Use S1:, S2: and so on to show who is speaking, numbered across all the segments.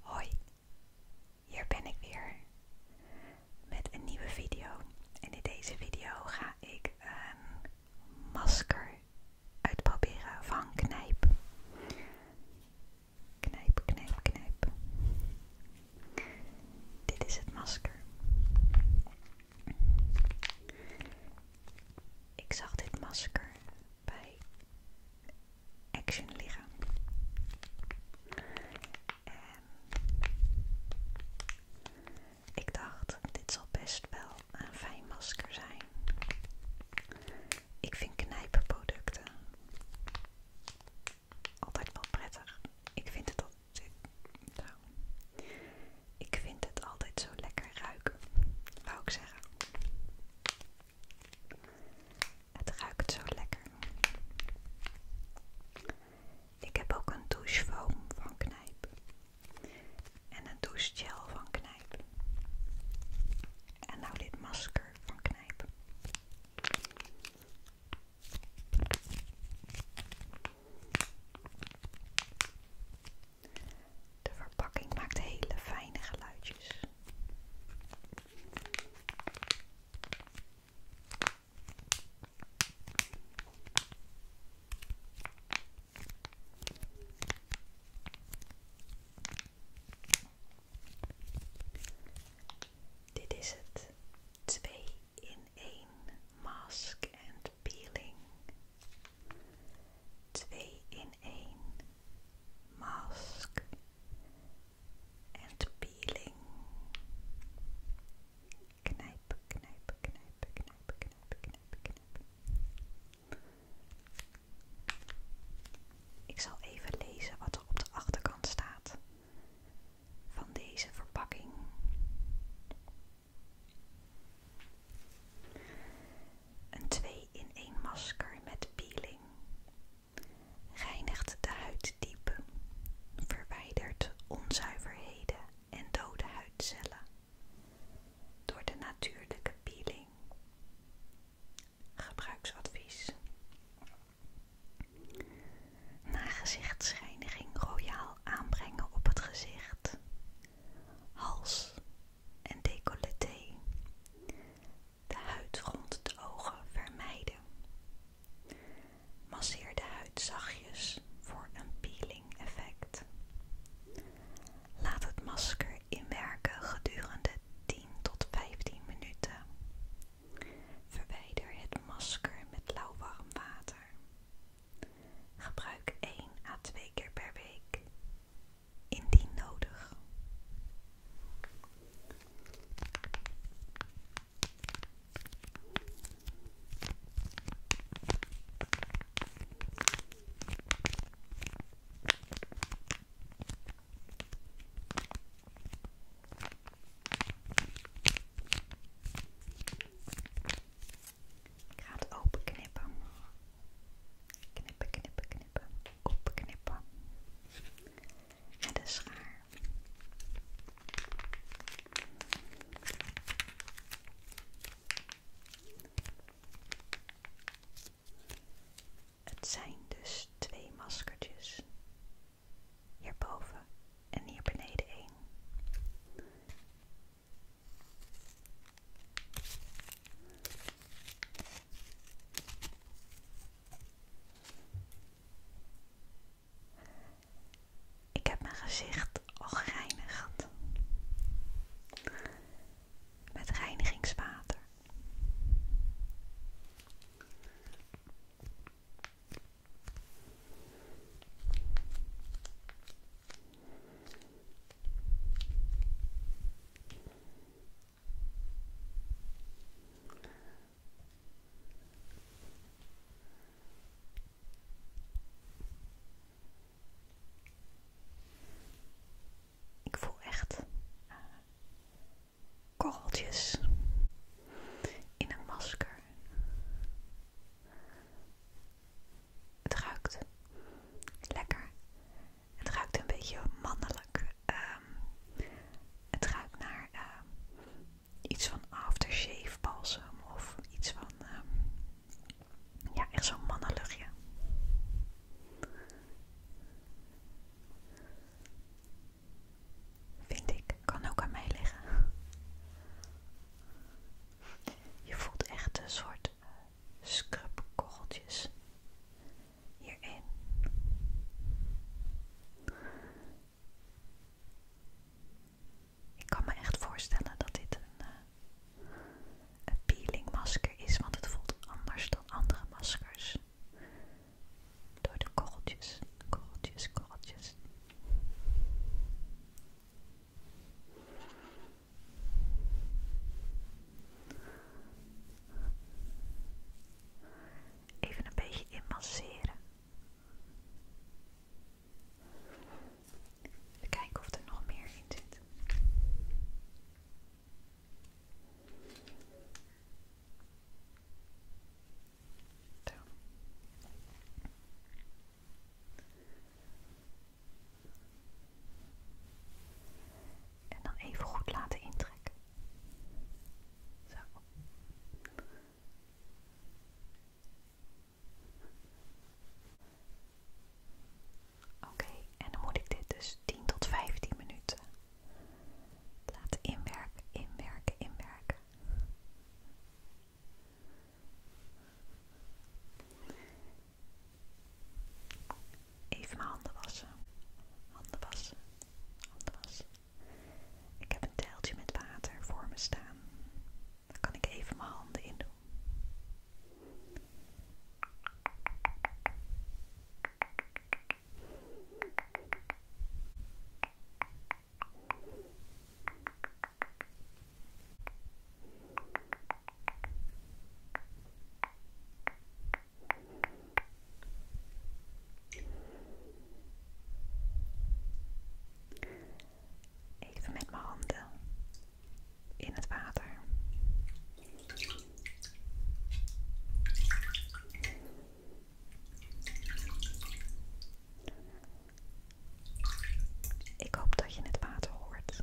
S1: Hoi, hier ben ik weer met een nieuwe video. En in deze video ga ik een masker uitproberen van Knijp. Knijp, knijp, knijp. Dit is het masker. Ik zag dit masker bij Action liggen. En ehm, ik dacht, dit zal best wel een fijn masker zijn. Ik vind knijpenproducten altijd wel prettig. Ik vind het altijd, zo. ik vind het altijd zo lekker ruiken, wou ik zeggen. Het ruikt zo lekker. Ik heb ook een douchefoam van Knijp. En een douchegel van Knijp. En nou dit masker van Knijp. De verpakking maakt hele fijne geluidjes. Dit is het 2 in 1 mask and peeling. 2 in 1 mask en peeling. knijp knijpen, knijpen, knijpen, knijpen, knijpen, knijpen. Ik zal even lezen wat er op de achterkant staat van deze verpakking. Een 2 in 1 masker met peeling. Reinigt de huid diep. Verwijdert onzuiverheden en dode huidcellen. Door de natuurlijke peeling. Gebruiksadvies. Na gezichtsschijniging royaal aanbrengen op het gezicht, hals en decolleté de huid rond de ogen vermijden. Masseer de huid zachtjes voor een peeling effect. Laat het masker inwerken gedurende 10 tot 15 minuten. Verwijder het masker met lauw warm water. Gebruik 1 à 2 keer per week indien nodig. gaat open Knippen, knippen, knippen knippen, opknippen. Met een schaar. Het zijn dus twee maskertjes. Hierboven en hier beneden één. Ik heb mijn gezicht al gereinigd met reinigingswater. Ik voel echt eh, korreltjes in een masker. Het ruikt lekker het ruikt een beetje mannelijk. Ehm, het ruikt naar ehm, iets van aftershave balsem of iets van, ehm, ja, echt zo'n mannenluchtje. Vind ik, kan ook aan mij liggen. Je voelt echt een soort eh, scrubkogeltjes hierin. Ik kan me echt voorstellen dat dit eh, een, peeling masker is, want het voelt anders dan andere maskers. Door de korreltjes, korreltjes, korreltjes. Even een beetje inmasseren. Even kijken of er nog meer in zit. Zo. En dan even goed laten intrekken. Zo. Oké, en dan moet ik dit dus 10 tot 15 minuten laten inwerken, inwerken, inwerken. Even mijn handen wassen. Handen wassen. Handen wassen. Ik heb een teltje met water voor me staan. Dan kan ik even mijn handen in doen. Even met mijn handen in het water. Ik hoop dat je het water hoort.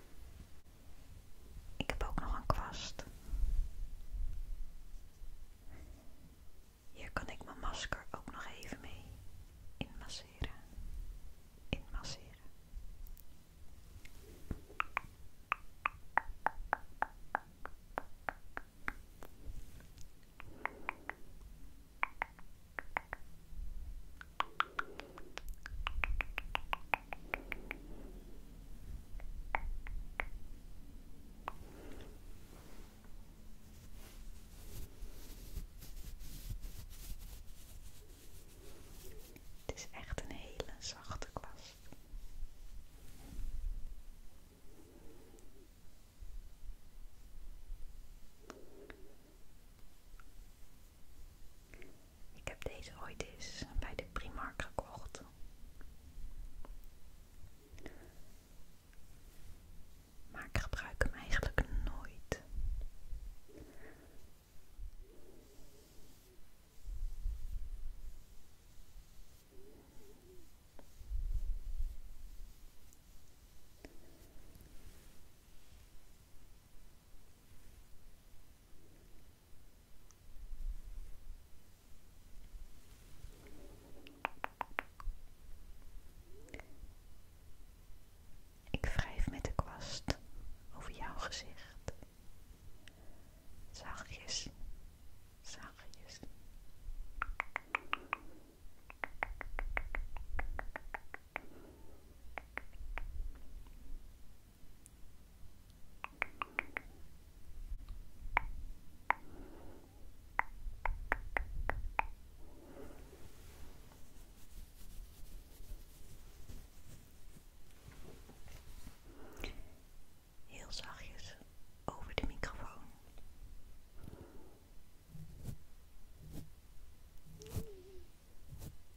S1: Ik heb ook nog een kwast. Hier kan ik mijn masker ook nog even mee inmasseren. Het is echt een hele zachte kwast. Ik heb deze ooit eens bij de Primark gekocht. Maar ik gebruik hem eigenlijk nooit. Ik wrijf met de kwast over jouw gezicht. Zachtjes, zachtjes. Heel zachtjes over de microfoon.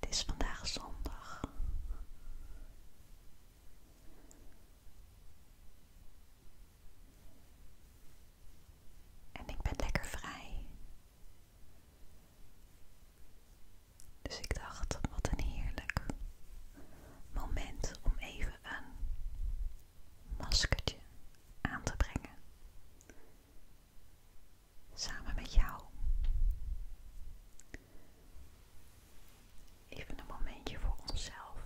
S1: Het is vandaag zondag. En ik ben lekker vrij. Dus ik dacht, wat een heerlijk moment om even een maskertje aan te brengen. Samen met jou. Even een momentje voor onszelf.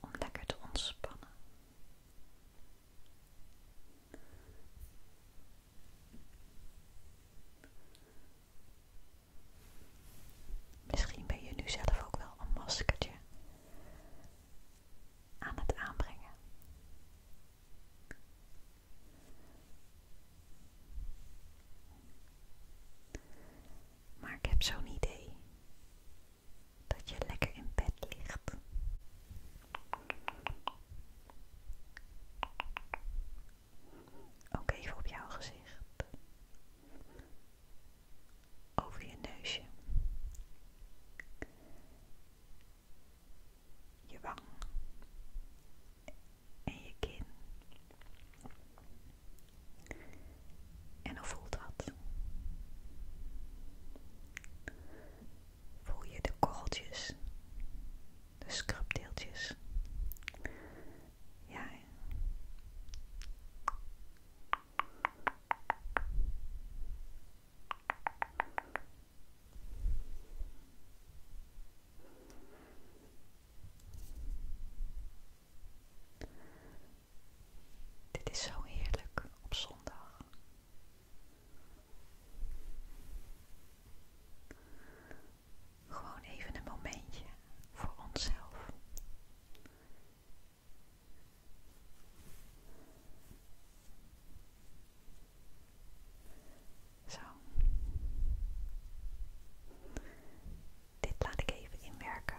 S1: Om lekker te ontspannen. Misschien ben je nu zelf ook wel een maskertje aan het aanbrengen. Maar ik heb zo'n idee dat je lekker in bed ligt ook even op jouw gezicht. Over je neusje. Je wang. En je kin. En hoe voelt dat? voel je de korreltjes, de scrubdeeltjes. Ja. Dit is zo heerlijk op zondag. Gewoon even een momentje voor onszelf. Zo. Dit laat ik even inwerken.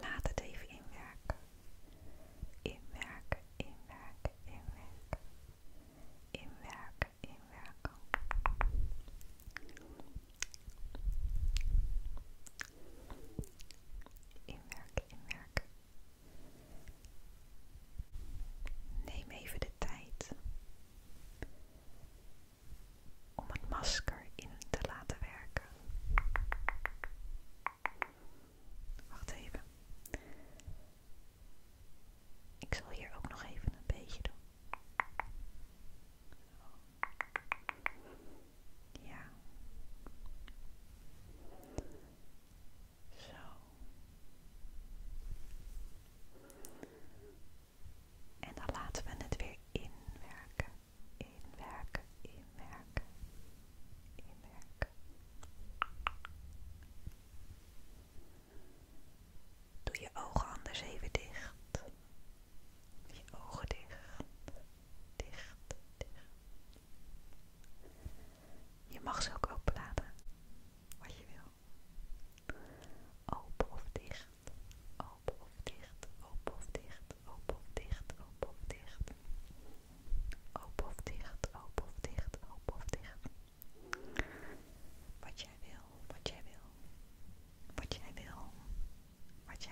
S1: Laat het even inwerken. Inwerken, inwerken, inwerken. Inwerken, inwerken. Inwerken, inwerken. Neem even de tijd om het masker in te laten werken. Wacht even. Ik zal hier ook nog even een beetje doen. Ja. Zo. En dan laten we het weer inwerken. Inwerken, inwerken, inwerken. Doe je ogen anders even dicht. Je ogen dicht, dicht, dicht. Je mag ze ook open laten, wat je wil. Open of dicht, open of dicht, open of dicht, open of dicht, open of dicht. Open of dicht, open of dicht, open of dicht. Wat jij wil, wat jij wil, wat jij wil wat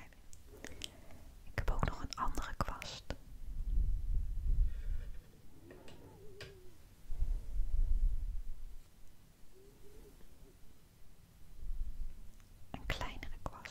S1: Ik heb ook nog een andere kwast. Een kleinere kwast.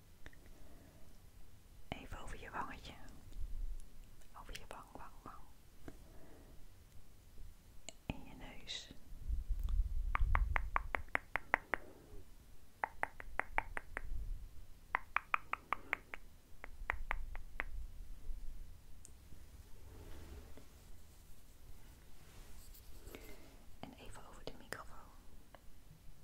S1: Even over je wangetje. Over je wang, wang, wang. In je neus. En even over de microfoon.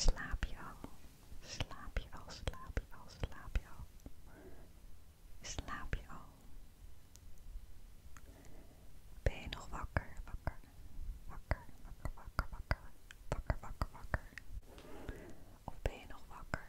S1: Slaap je al? Slaap je al? Slaap je al? Slaap je al? Ben je nog wakker? Wakker, wakker, wakker, wakker, wakker, wakker, wakker, wakker. Of ben je nog wakker?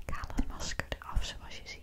S1: Ik haal het masker af, zoals je ziet.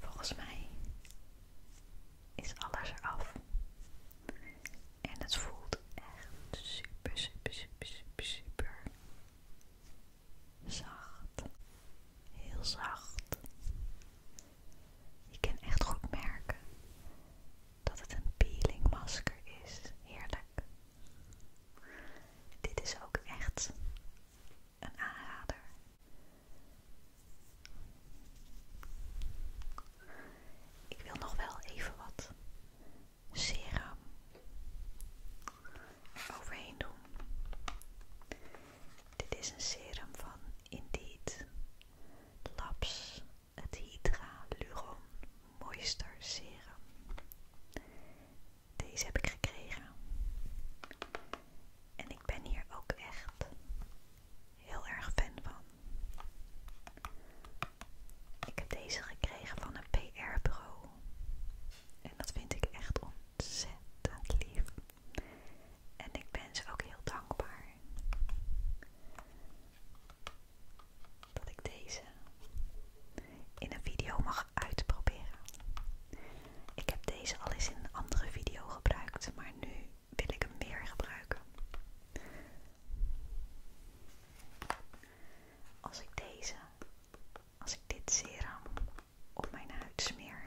S1: Volgens mij is alles af En het voelt echt super, super, super, super zacht. Heel zacht. Je kan echt goed merken dat het een peeling masker is. Heerlijk. Dit is ook echt een aanrader. Ik wil nog wel even wat serum overheen doen. Dit is een serum van Indeed Labs, het Hydra-Luron Moister Serum. Deze heb ik gekregen. En ik ben hier ook echt heel erg fan van. Ik heb deze gekregen van een PR-bureau. En dat vind ik echt ontzettend lief. En ik ben ze ook heel dankbaar dat ik deze in een video mag uitproberen. Ik heb deze al eens in een andere video gebruikt, maar nu wil ik hem weer gebruiken. Als ik deze, als ik dit serum op mijn huid smeer,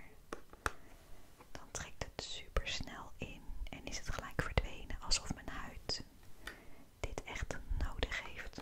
S1: dan trekt het super snel in en is het gelijk verdwenen alsof mijn huid dit echt nodig heeft.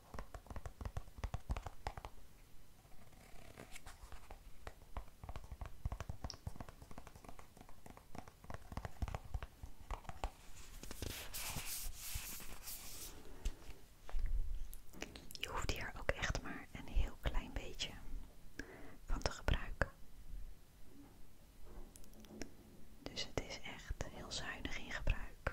S1: Je hoeft hier ook echt maar een heel klein beetje van te gebruiken. Dus het is echt heel zuinig in gebruik.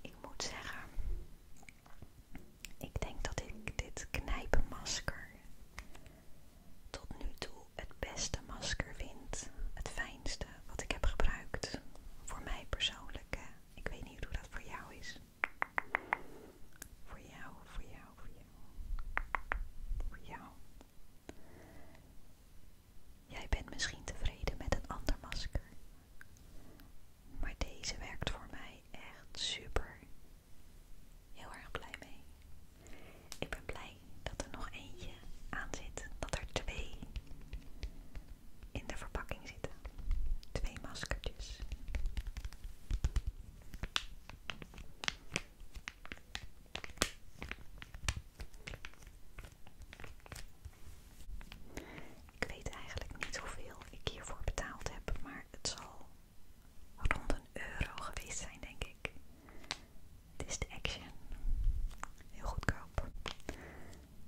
S1: Ik moet zeggen, ik denk dat ik dit knijpenmasker tot nu toe het beste masker vind. Het fijnste wat ik heb gebruikt. Voor mij persoonlijk. Ik weet niet hoe dat voor jou is. Voor jou, voor jou, voor jou. Voor jou. Jij bent misschien tevreden met een ander masker. Maar deze werkt voor mij echt super. Heel erg blij mee. Ik ben blij dat er nog eentje aan zit. Dat er twee in de verpakking zitten. Twee maskertjes. Ik weet eigenlijk niet hoeveel ik hiervoor betaald heb, maar het zal rond een euro geweest zijn, denk ik. Het is de Action. Heel goedkoop.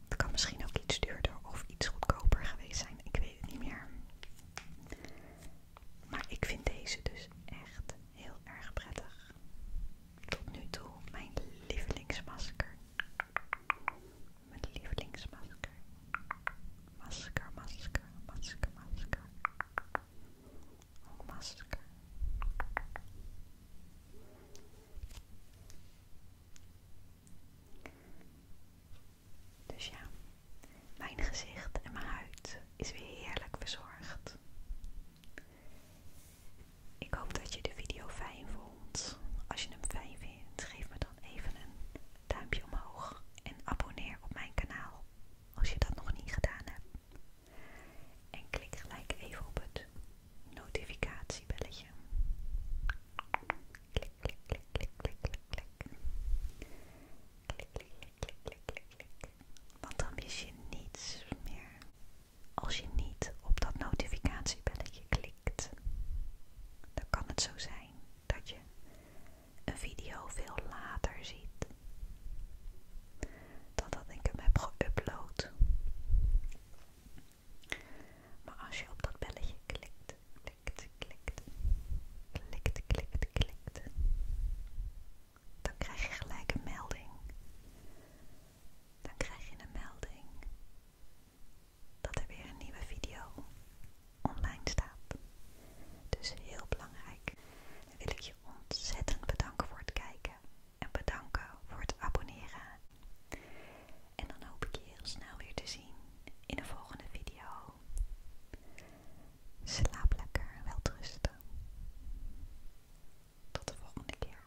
S1: Het kan misschien ook iets duurder of iets goedkoper geweest zijn, ik weet het niet meer. Maar ik vind deze dus echt heel erg prettig. Tot nu toe mijn lievelingsmasker. Mijn lievelingsmasker. Masker, masker, masker, masker. Ook masker. Dus ja, mijn gezicht en mijn huid is weer heerlijk verzorgd. Ik hoop dat je de video fijn vond. Als je hem fijn vindt, geef me dan even een duimpje omhoog en abonneer op mijn kanaal als je dat nog niet gedaan hebt. En klik gelijk even op het notificatiebelletje. Klik, klik, klik, klik, klik, klik, klik. Klik, klik, klik, klik, klik, klik, Want dan mis je niets meer als je niet op dat notificatiebelletje klikt. Dan kan het zo zijn dat je een video veel later ziet dan dat ik hem heb geüpload. Maar als je op dat belletje klikt, klikt, klikt, klikt, klikt, klikt, dan krijg je gelijk een melding. Dan krijg je een melding dat er weer een nieuwe video online staat. Dus heel belangrijk. wil ik je ontzettend bedanken voor het kijken en bedanken voor het abonneren. En dan hoop ik je heel snel weer te zien in de volgende video. Slaap lekker en welterusten. Tot de volgende keer.